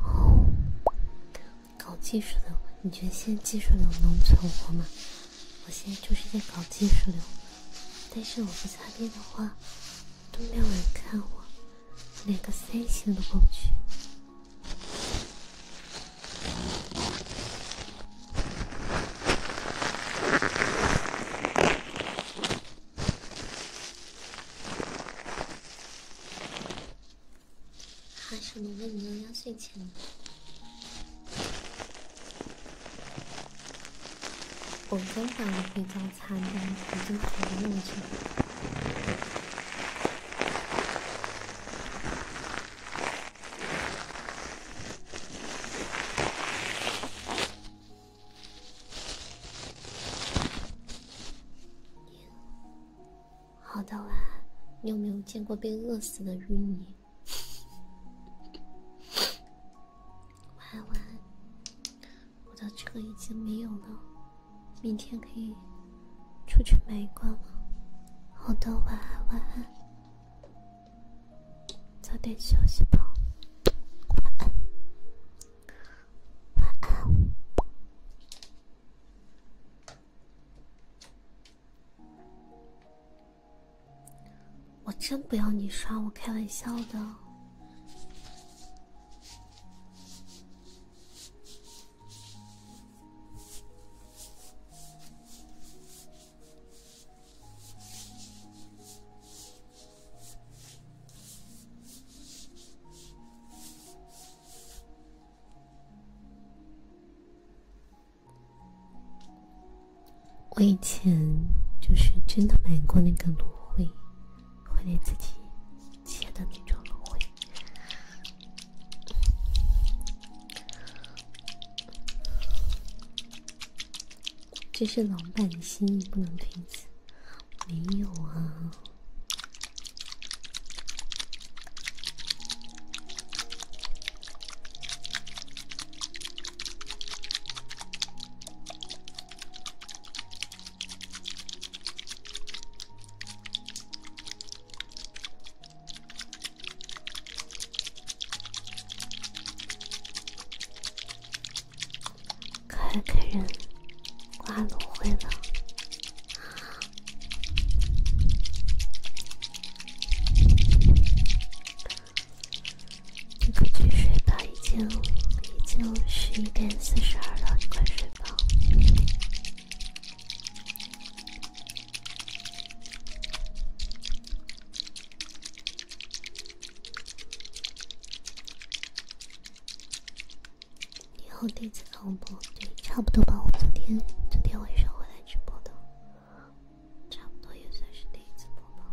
哦，搞技术的，你觉得现在技术流能存活吗？我现在就是在搞技术流。但是我不擦边的话，都没有人看我，连个三星都过不去。还是我问你要压岁钱我刚想回家查看，已经跑到门好的啦，你有没有见过被饿死的淤泥？晚安，晚安。我的车已经没有了，明天可以出去买一罐了。好的，晚安，晚安，早点休息吧，晚安，晚安。我真不要你刷，我开玩笑的。我以前就是真的买过那个芦荟，还得自己切的那种芦荟。这是老板的心意，不能推辞。没有啊。开给人刮芦荟了。你快去睡吧，已经已经十一点四十二了，你快睡吧。你好，第一次开播，对，差不多吧，我昨天昨天晚上回来直播的，差不多也算是第一次播吧。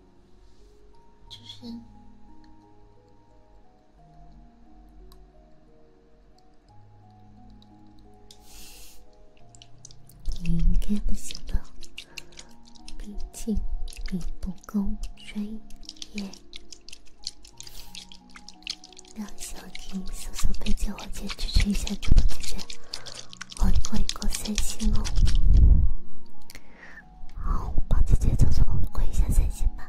就是，你应该不行的，毕竟你不够专业。让小金搜索背景环节支持一下主播姐姐，我过一个三星哦。好，帮姐姐操作一下三星吧。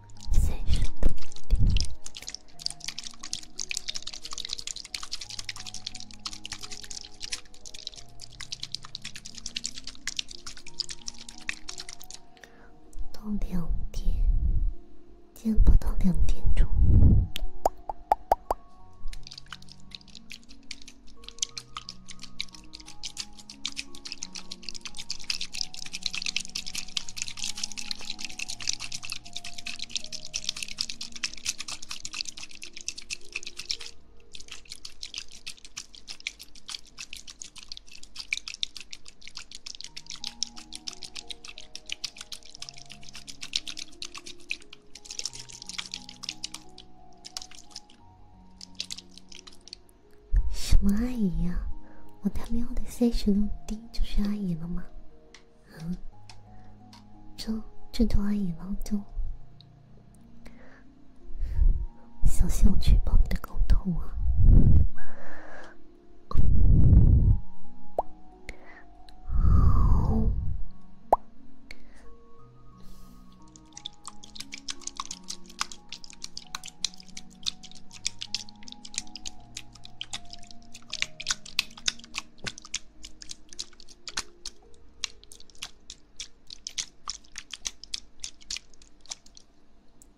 到两点，见不到两点钟。什么阿姨呀！我他喵的三十六 D。就是阿姨了吗？嗯，这这都阿姨了，就小心我举报你的狗头啊！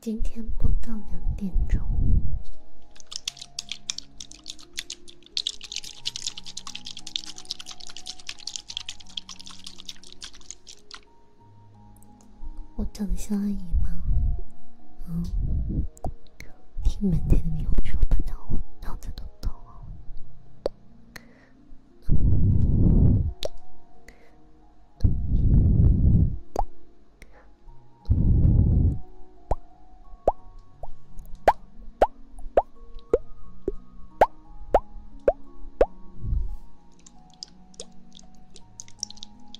今天播到两点钟。我长得像阿姨吗？嗯，听满天的鸟说，把到我脑子都疼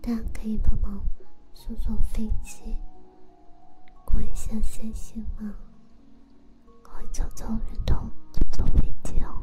大家可以帮忙坐坐飞机，过一下星星吗？快走走运动，坐飞机哦。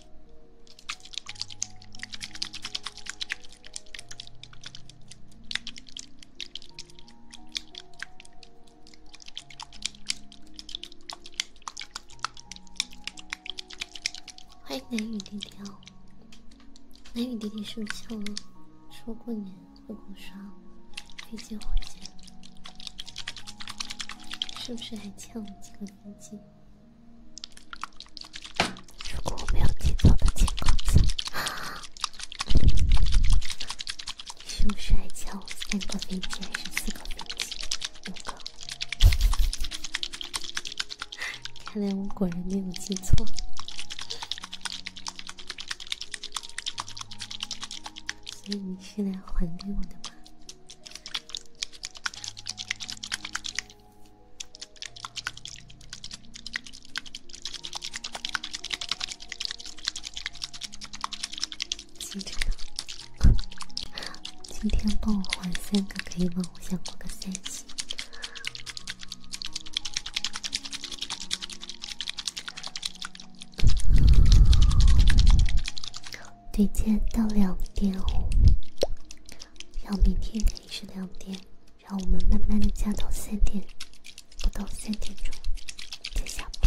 欢迎雷雨弟弟哦，雷雨弟弟是不是说过年会给我刷飞机火箭？是不是还欠我几个飞机？如果我没有记错的情况下，你是不是还欠我三个冰激，还是四个冰激，五个？看来我果然没有记错，所以你是来还给我的吗？新知今天帮我还三个可以吗？我想过个三七。对接到两点五，然后明天。是两点，让我们慢慢的加到三点，不到三点钟就下播。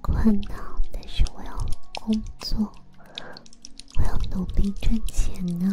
困了，但是我要工作，我要努力赚钱呢。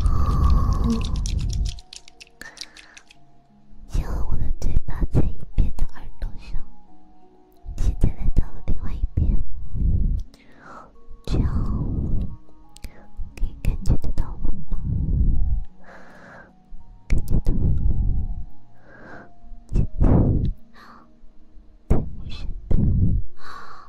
哦，先和我的嘴巴在一边的耳朵上，现在来到了另外一边，这样可以感觉得到我吗？感觉得到吗？好。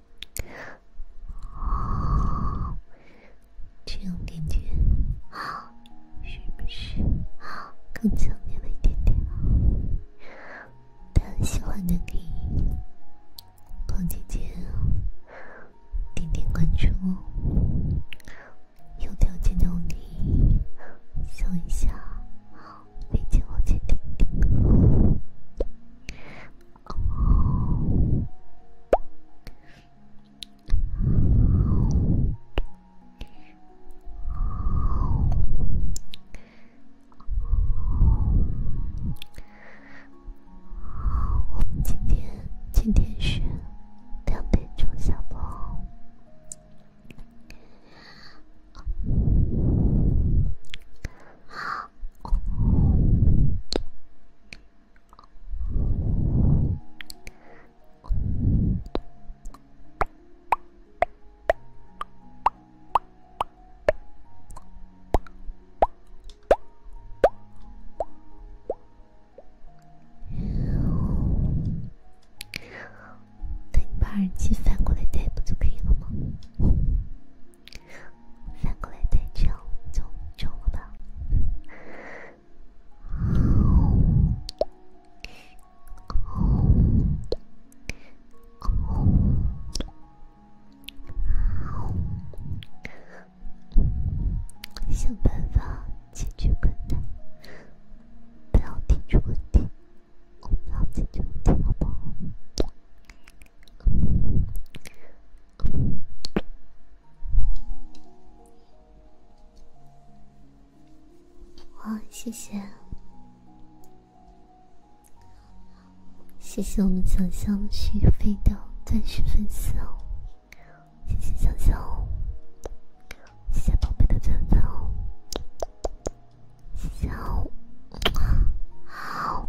哦，这样感觉好，是不是？好更强烈了一点点。但喜欢的你，胖姐姐，点点关注哦。有条件的你，笑一下，好理解我前提。哦，哦，哦，哦，今天今天是两点钟下班。哦，那你把耳机反过来戴不就可以了吗？反过来再叫，就中了吧？想办法解决困难，不要提出问题，不要提出问题好不好？哇，谢谢，谢谢我们小香续费的钻石粉丝，谢谢小象谢谢宝贝的钻钻哦，谢谢哦，好，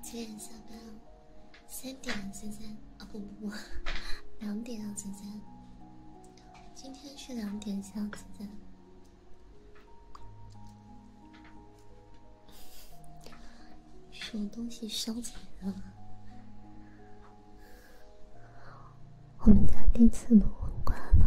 几点下班啊？三点，现在啊，不不不，两点，现在。今天是两点，现在。什么东西烧起来了？我们家电磁炉关了。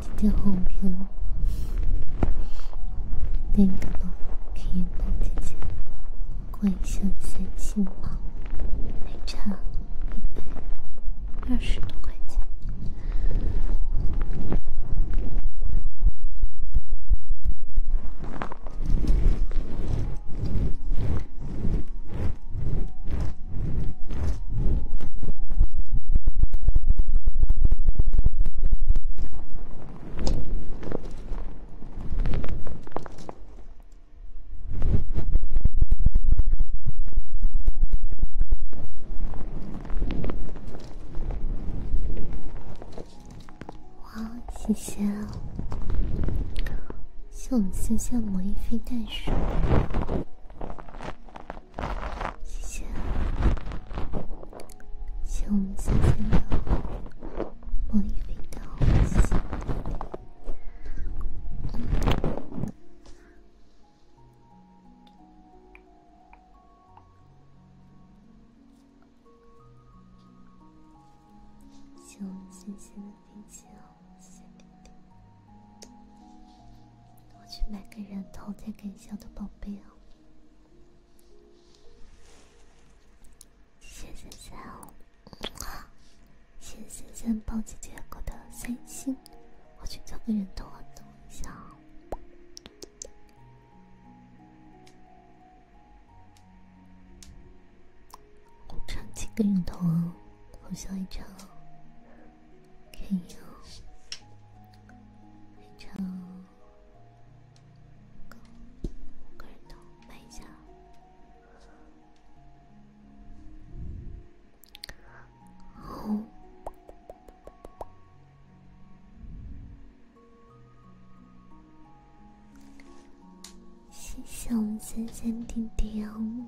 姐姐好漂亮，等一等，看到姐姐，过一下三千吧，还差一百二十多块钱。哇，谢谢！像我们谢下摸一飞袋鼠。谢谢，谢我们仙仙的玻璃飞刀，谢谢，谢我们仙仙的谢谢。我去买个人头再给小的宝贝哦。谢谢笑，谢谢谢暴击杰哥的三星，我去做个人头啊，等一下，我染几个染头哦，好像一张。可以哦，谢谢我们三三弟弟哦。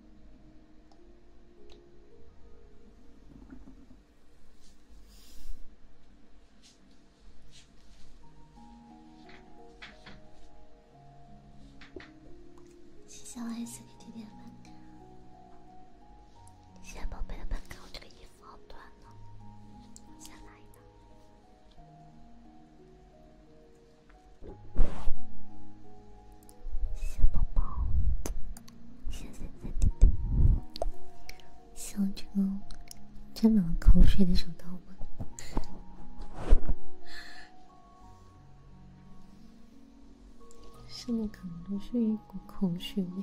谢谢我爱的弟弟的谢谢宝贝的粉卡。我这个衣服好短呢，我下来一个。小宝宝，现在在想这个沾满了口水的手刀吗？上面可能都是一股口水味。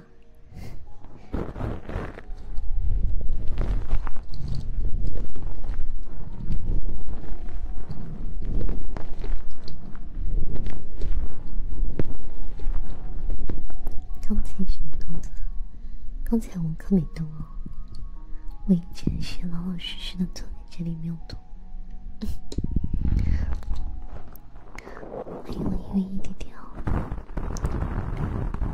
刚才什么动作？刚才我可没动哦，我一直是老老实实的坐在这里，没有动。欢迎我一位一弟点哦。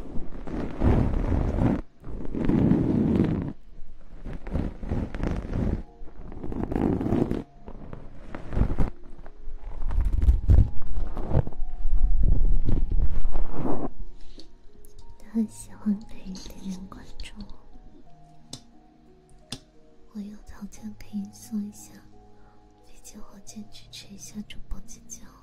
他很喜欢可以点点关注，我有条件可以送一下，以及火箭支持一下主播姐姐哦。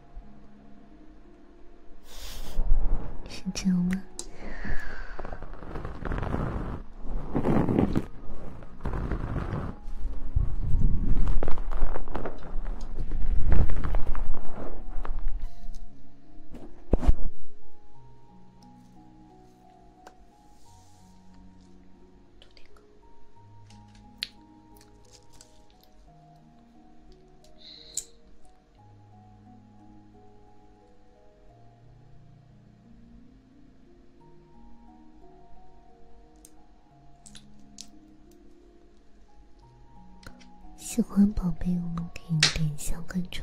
是这样吗？喜欢宝贝，我们可以点一下关注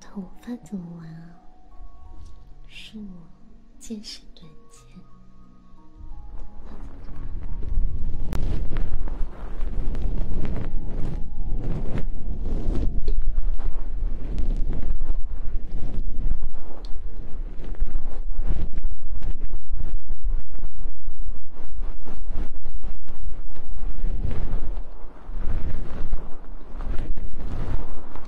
头发怎么玩啊？是我见识短浅。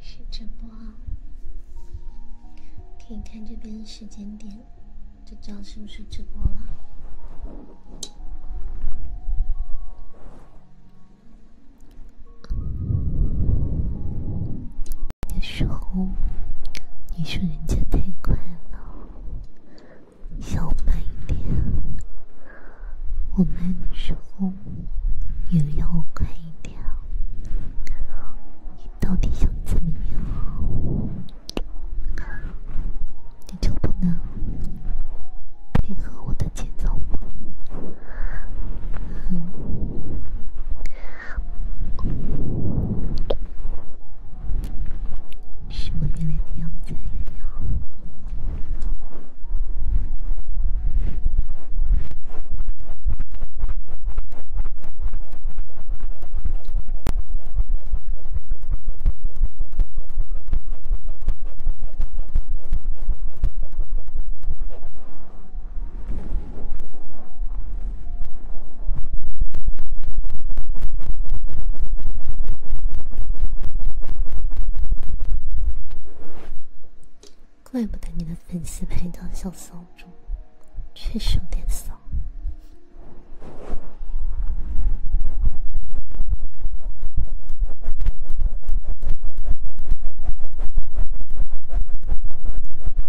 是直播，可以看这边时间点，就知道是不是直播了。的时候，你说人家太快了，要慢一点。我慢的时候也要我快一点。你到底想怎么样？你就不能配合我的节奏吗？嗯。什么一脸的样子呀？怪不得你的粉丝牌叫小骚猪，确实有点骚。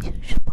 担心什么？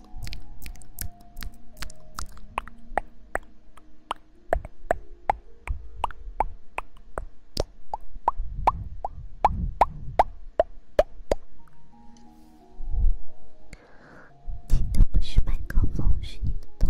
你的不是蛮高吗？是你的头。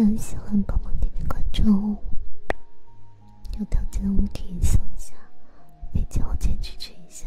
但喜欢宝宝点点关注，有条件的可以搜一下，没条件支持一下。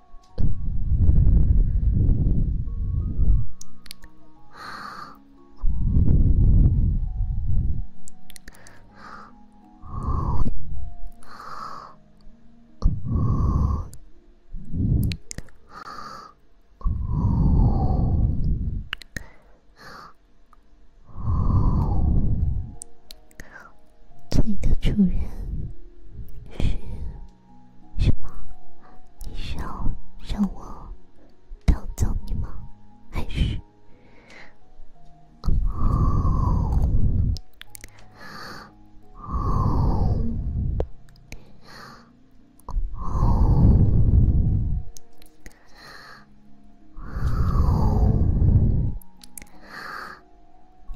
啊！哦！哦！哦！哦！哦！哦！哦！你的主人是。什么？你需要让我调教你吗？还是？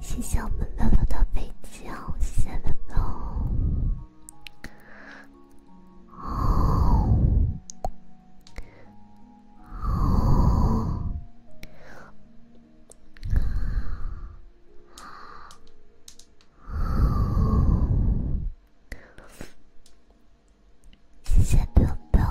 谢谢我们乐乐的背景，谢谢乐乐。哦哦哦哦！谢谢宝宝。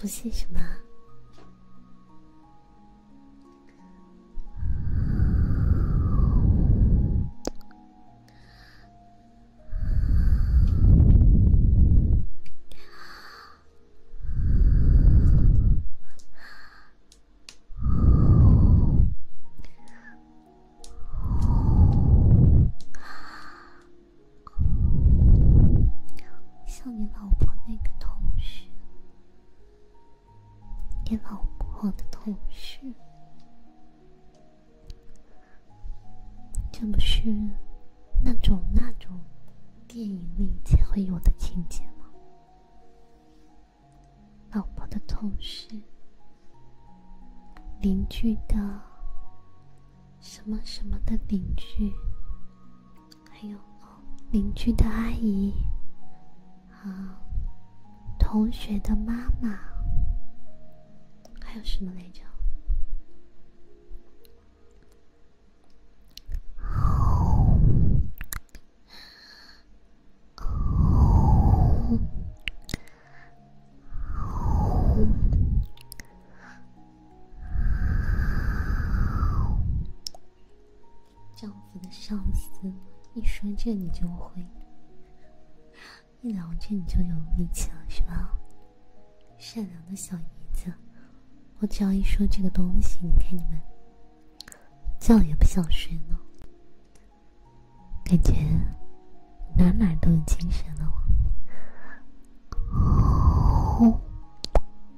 不信什么？像你老婆那个同学。老婆的同事，这不是那种那种电影里才会有的情节吗？老婆的同事，邻居的什么什么的邻居。还有邻居的阿姨，啊，同学的妈妈，还有什么来着？丈夫的上司，一说这你就会，一聊这你就有力气了，是吧？善良的小姨子，我只要一说这个东西，你看你们，觉也不想睡了，感觉哪哪都有精神了，哦。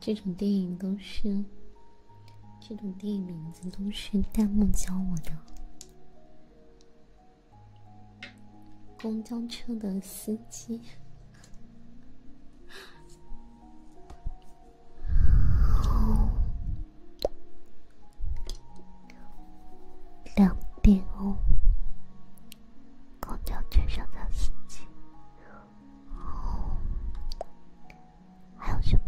这种电影都是，这种电影名字都是弹幕教我的。公交车的司机哦，两点哦，公交车上的司机哦。还有什么？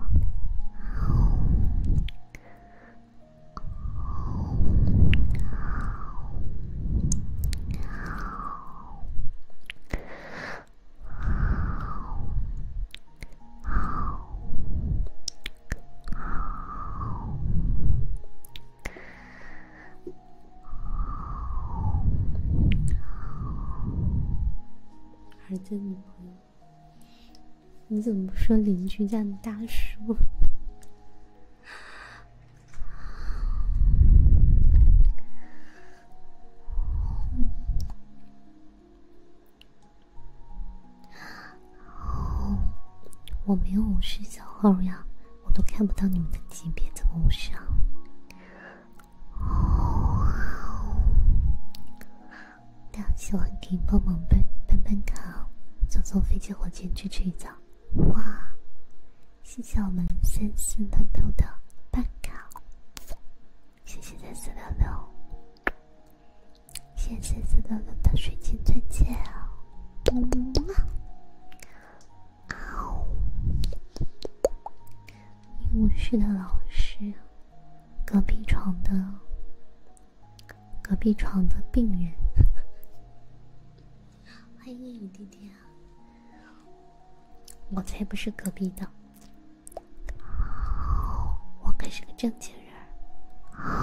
儿子，女朋友，你怎么不说邻居家的大叔？我没有五十小号呀，我都看不到你们的级别怎么五十啊？哦，大家喜欢可以帮忙办办办卡，坐坐飞机、火箭去取一早。哇，谢谢我们三四六六的办卡，谢谢三四六六，谢谢三四六六的水晶钻戒。哇哦，医务室的老师。隔壁床的，隔壁床的病人。欢迎雨弟弟啊！我才不是隔壁的，我可是个正经人。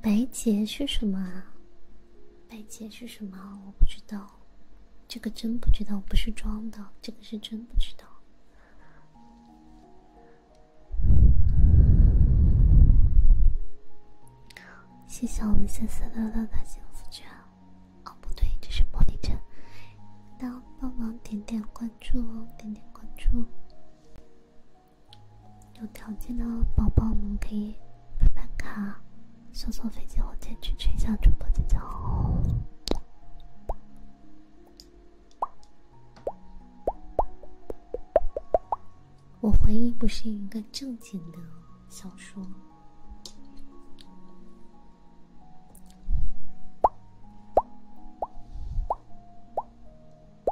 白洁是什么啊？白洁是什么？我不知道，这个真不知道，不是装的，这个是真不知道。谢谢我们三三六六的幸福圈，哦不对，这是玻璃圈，大家帮忙点点关注哦，点点关注。有条件的宝宝们可以办办卡，坐坐飞机火箭去吹一下主播姐姐哦。我怀疑不是一个正经的小说。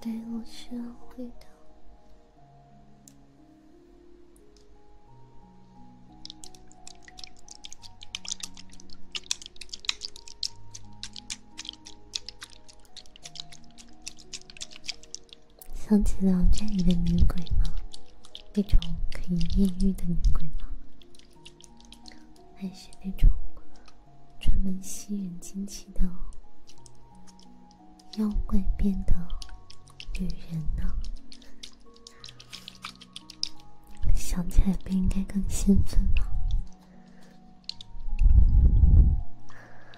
对，我希望回到。想起《了这里的女鬼吗？那种可以艳遇的女鬼吗？还是那种专门吸人精气的妖怪变的女人呢？想起来不应该更兴奋吗？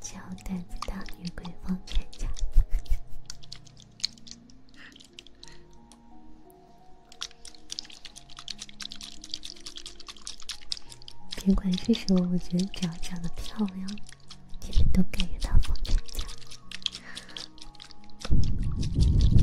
叫胆子大的女鬼放全家。别管是什么，我觉得只要长得漂亮，你们都感觉她不坚强。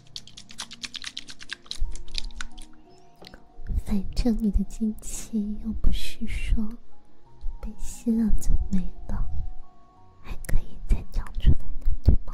反正你的精气又不是说被吸了就没了，还可以再长出来的，对吗？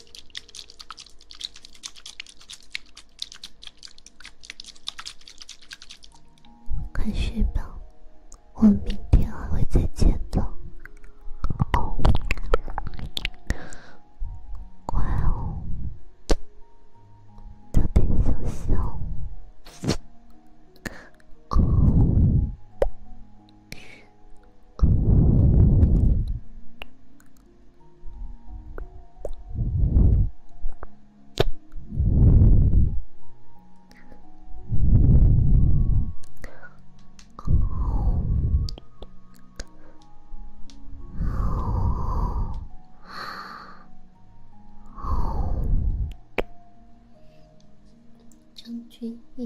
快睡吧，我明天还会再见的。乖哦，早点休息哦。张君毅。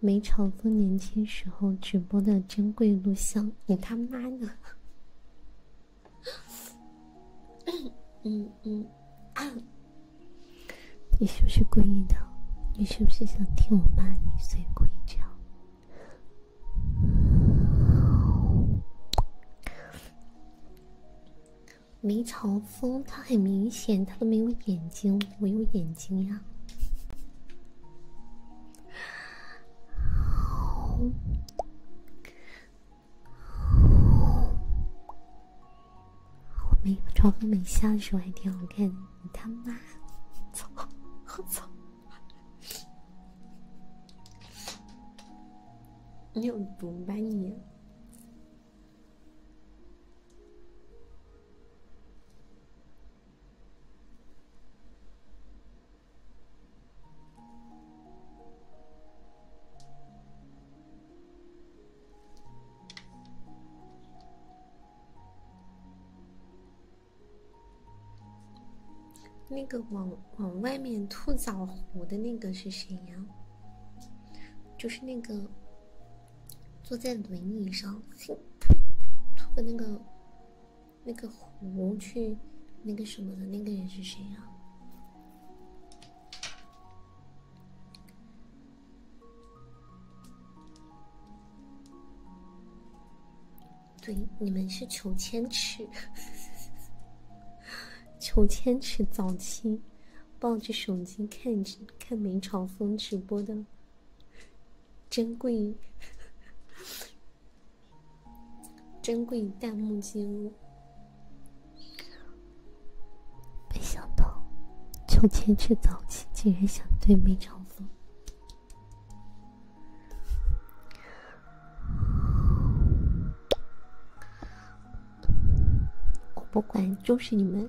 梅长风年轻时候直播的珍贵录像，你他妈的！嗯嗯，你是不是故意的？你是不是想听我骂你所以故意这样？梅长风他很明显，他都没有眼睛，我有眼睛呀。我没美长发美瞎的时候还挺好看。你他妈，操，我操！你有毒吧你？那个往往外面吐枣核的那个是谁呀？就是那个坐在轮椅上 吐的那个。那个湖去，那个什么的那个人是谁啊？对，你们是裘千尺。裘 千尺早期抱着手机看着看梅超风直播的。珍贵，珍贵弹幕记录，没想到，早起竟然想对面长风。我不管，就是你们。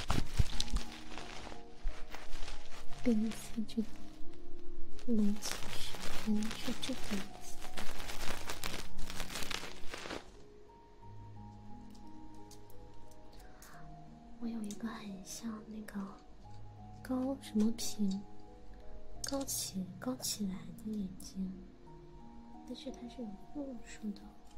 第一次知道“龙骑士”是这个意思。我有一个很像那个高什么平高起高起来的眼睛，但是它是有度数的。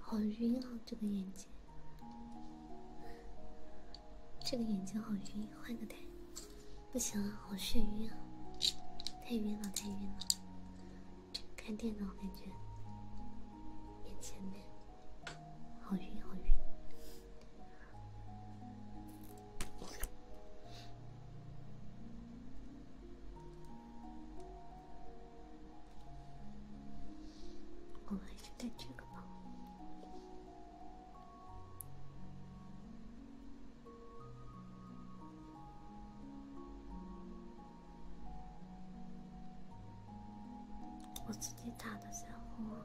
好晕啊，这个眼睛，这个眼睛好晕，换个台，不行，啊，好眩晕啊，太晕了，太晕了，看电脑感觉，眼前面好晕，好晕。我来这个吧。我自己打的时候。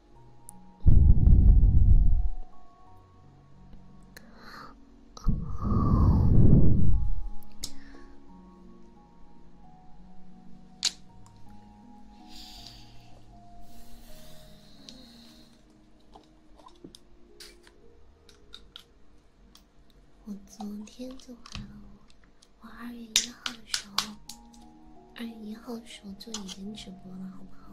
我昨天就怀了我，我二月一号的时候。二月一号的时候就已经直播了，好不好？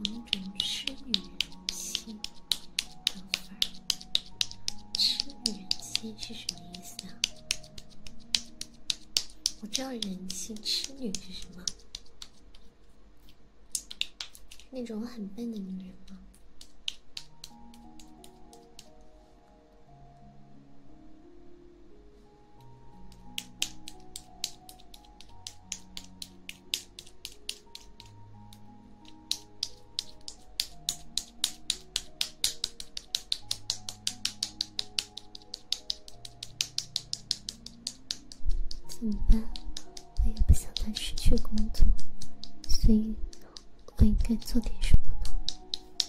各种吃女人气，等会儿，吃女人气是什么意思啊？我知道人妻痴女是什么，那种很笨的女人吗？怎么办？我也不想再失去工作，所以，我应该做点什么呢？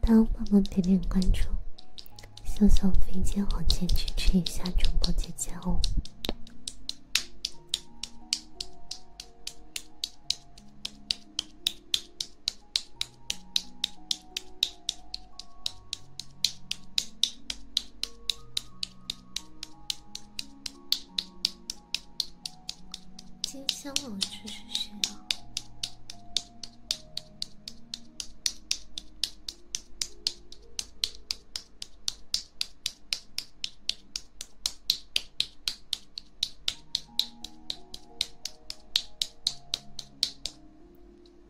当帮忙点点关注，小小飞机火箭支持一下主播姐姐哦。金香龙之是谁啊？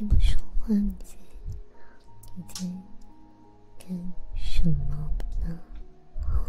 你不说话，你在干什么呢？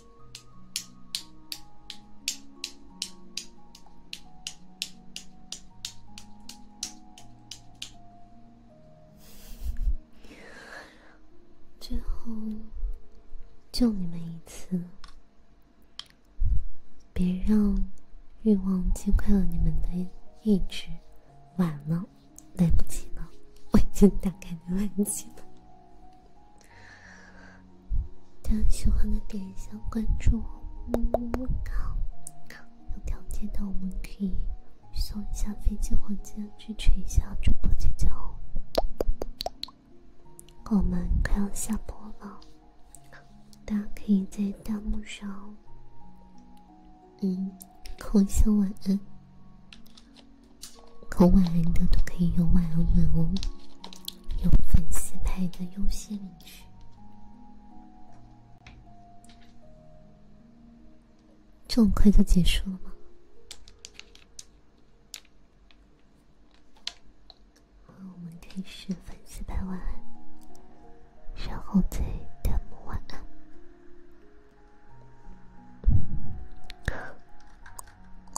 最后，就你们一次，别让欲望击溃了你们的意志。晚了，来不及了，我已经打开览器了。大家喜欢的点一下关注，么么么哒！有条件的我们可以送一下飞机或者支持一下主播姐姐哦。我们快要下播了，大家可以在弹幕上，嗯，扣一下晚安。扣晚安的都可以用晚安吻哦。有粉丝牌的优先领取。这么快就结束了吗？我们可以始粉丝牌晚安，然后再弹晚安。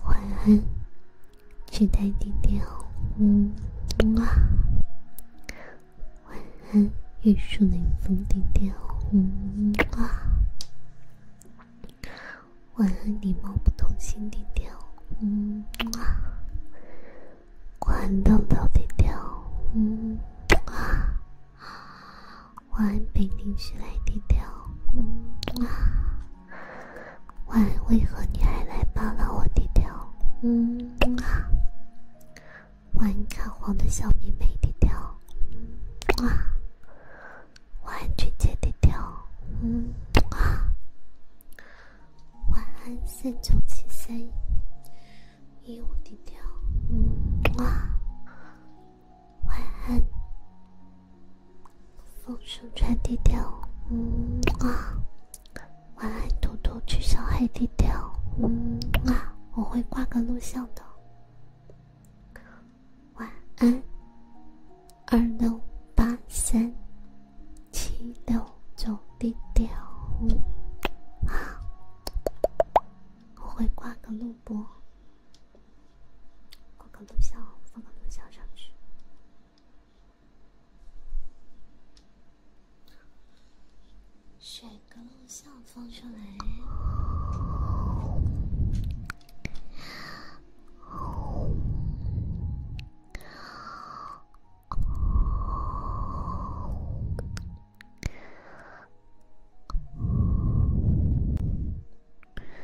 晚安，期待点点红，啊，晚安，玉树临风点点红，啊，晚安，礼貌不偷心点点红，啊，晚安，豆豆点点红，晚安，北京时来点点红，哇！晚为何你还来扒拉我低调？嗯啊，晚安看黄的小妹妹低调。哇，晚安姐低调。嗯啊，晚安三九七三一五低调。嗯啊，晚安。风声传递调，嗯啊，晚安，图图去小黑低调，嗯啊，我会挂个录像的，晚安，二六八三七六九低调，啊，我会挂个录播，挂个录像，放个录像上去。选个录像放出来。